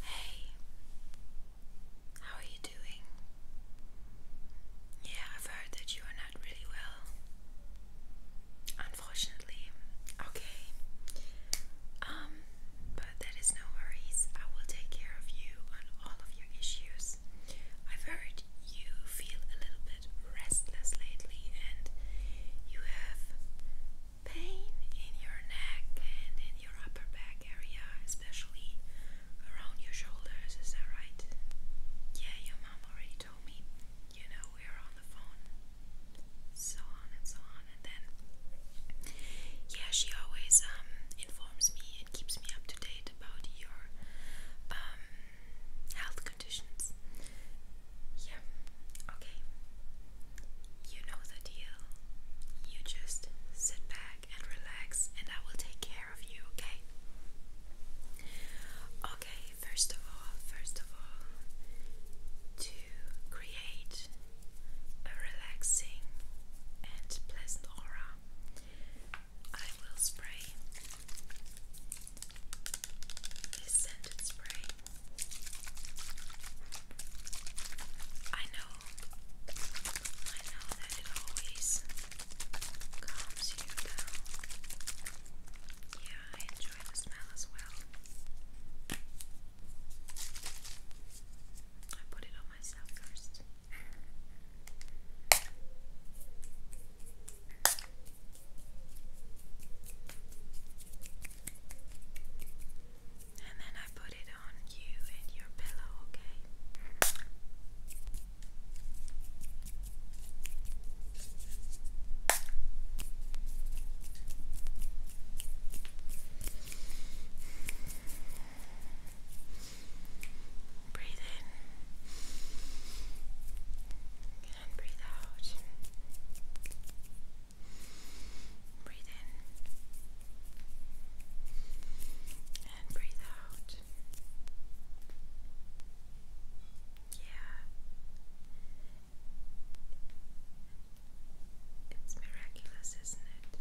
Hey, how are you doing? Yeah, I've heard that you are not really well. Unfortunately, okay. Um, but that is no worries. I will take care of you on all of your issues. I've heard you feel a little bit restless lately and you have pain in your neck and in your upper back area, especially around your shoulders, is that right? Yeah, your mom already told me. You know, we were on the phone. So on and so on, and then yeah, she always um, informs me and keeps me up to date about your um, health conditions. Yeah, okay. You know the deal. You just sit back and relax, and I will take care of you, okay? Okay, first of all, first of all, to create a relaxing and pleasant aura, I will spray this scented spray I know, I know that it always calms you down. Yeah, I enjoy the smell as well. I put it on myself first. And then I put it on you and your pillow, okay? Breathe in and breathe out. Breathe in and breathe out. Yeah. It's miraculous, isn't it?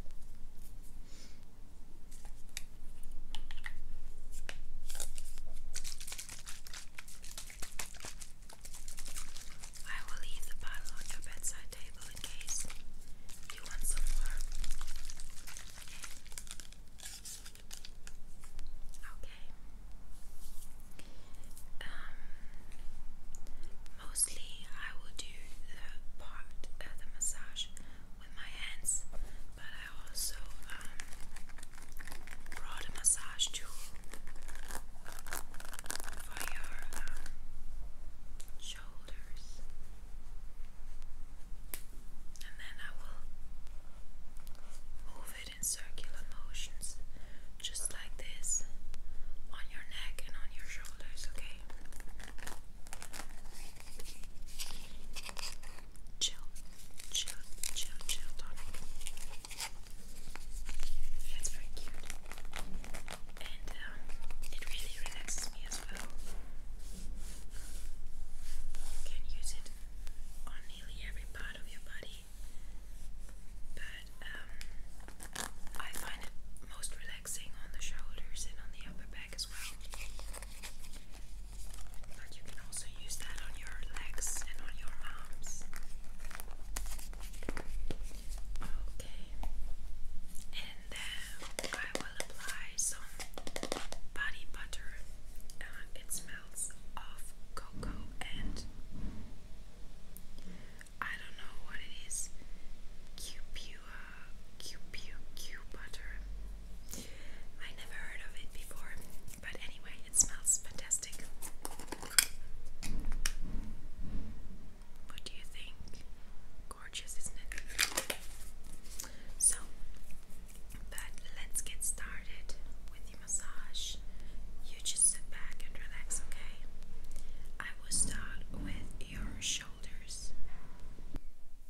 I will leave the bottle on your bedside table in case you want some more. Okay. Um, mostly I will do the part, uh, the massage with my hands, but I also um, brought a massage tool for your um, shoulders, and then I will move it in circular motions, just like this, on your neck and on your shoulders, okay? Chill, chill, chill, chill tonic. it's very cute. And um, it really relaxes me as well. You can use it on nearly every part of your body. But um, I find it most relaxing on the shoulders and on the upper back as well. But you can also use that on your legs and on your arms. Okay. And then I will apply some body butter. Uh, it smells of cocoa and I don't know what it is. Cupua, uh, Cupua, Q butter. I never heard of it before, but anyway, it smells fantastic. What do you think? Gorgeous, isn't it? So, but let's get started with the massage. You just sit back and relax, okay? I will start with your shoulders.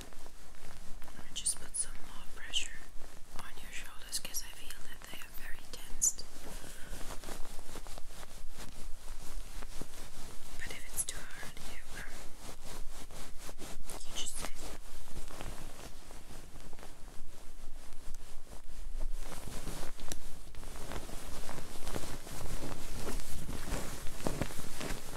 i just put some more pressure on your shoulders I feel that they are very tensed. But if it's too hard, you, um, just say.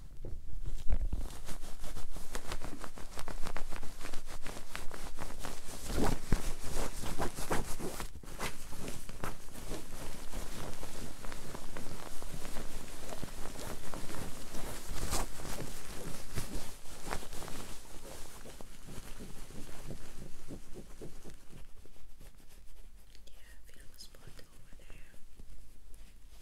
Yeah, feel the spot over there.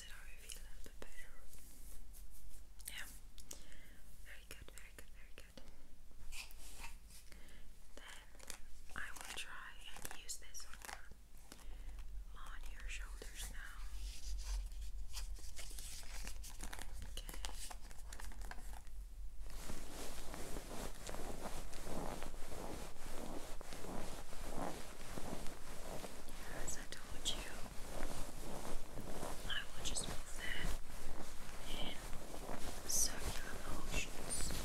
less it Yeah. Very good, very good, very good. Then I will try and use this on your shoulders now. Okay. Yeah, as I I will just move there in circular motions. Okay.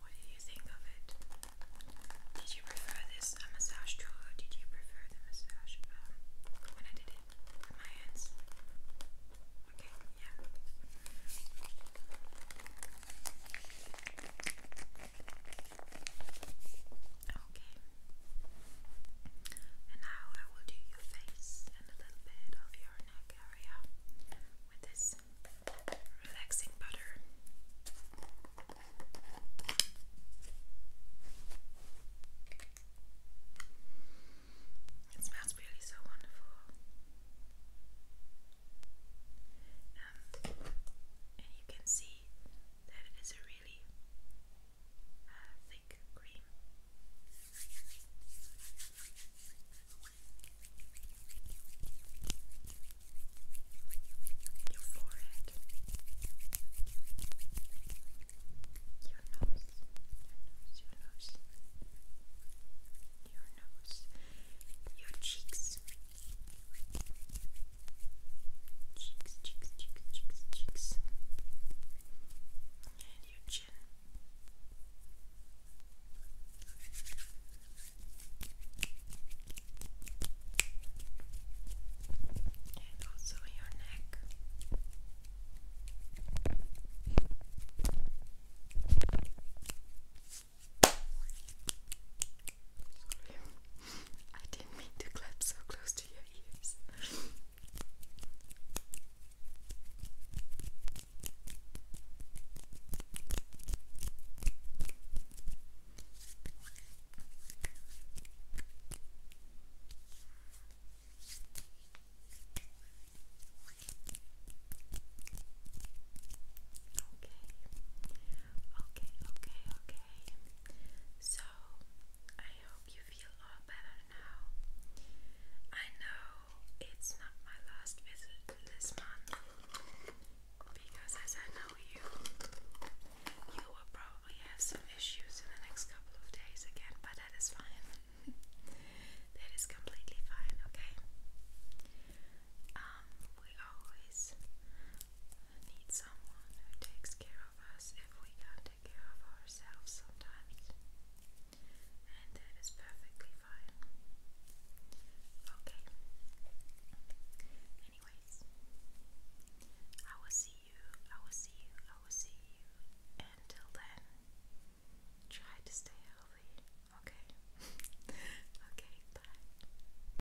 What do you think of it? Did you prefer this massage tool or did you prefer the massage um, when I did it with my hands? Okay, yeah. Okay. And now I will do your face and a little bit of your neck area with this relaxing butter. It smells really so wonderful. And, you can see that it is really uh, thick Your forehead, your nose, your nose, your nose, your cheeks, cheeks, cheeks, cheeks, cheeks, and your chin. And also your neck. Sorry, I didn't mean to clap so close to you your ears. Okay, okay, okay, okay. So I hope you feel all better now. I know it's not my last visit this month because, as I know you, you will probably have some issues in the next couple of days again, but that is fine. that is completely fine, okay? Um, we always need someone who takes care of us if we can't take care of ourselves sometimes. And that is perfectly fine. Okay. Anyways, I will see you, I will see you, I will see you. Until then, try to stay healthy, okay? okay, bye.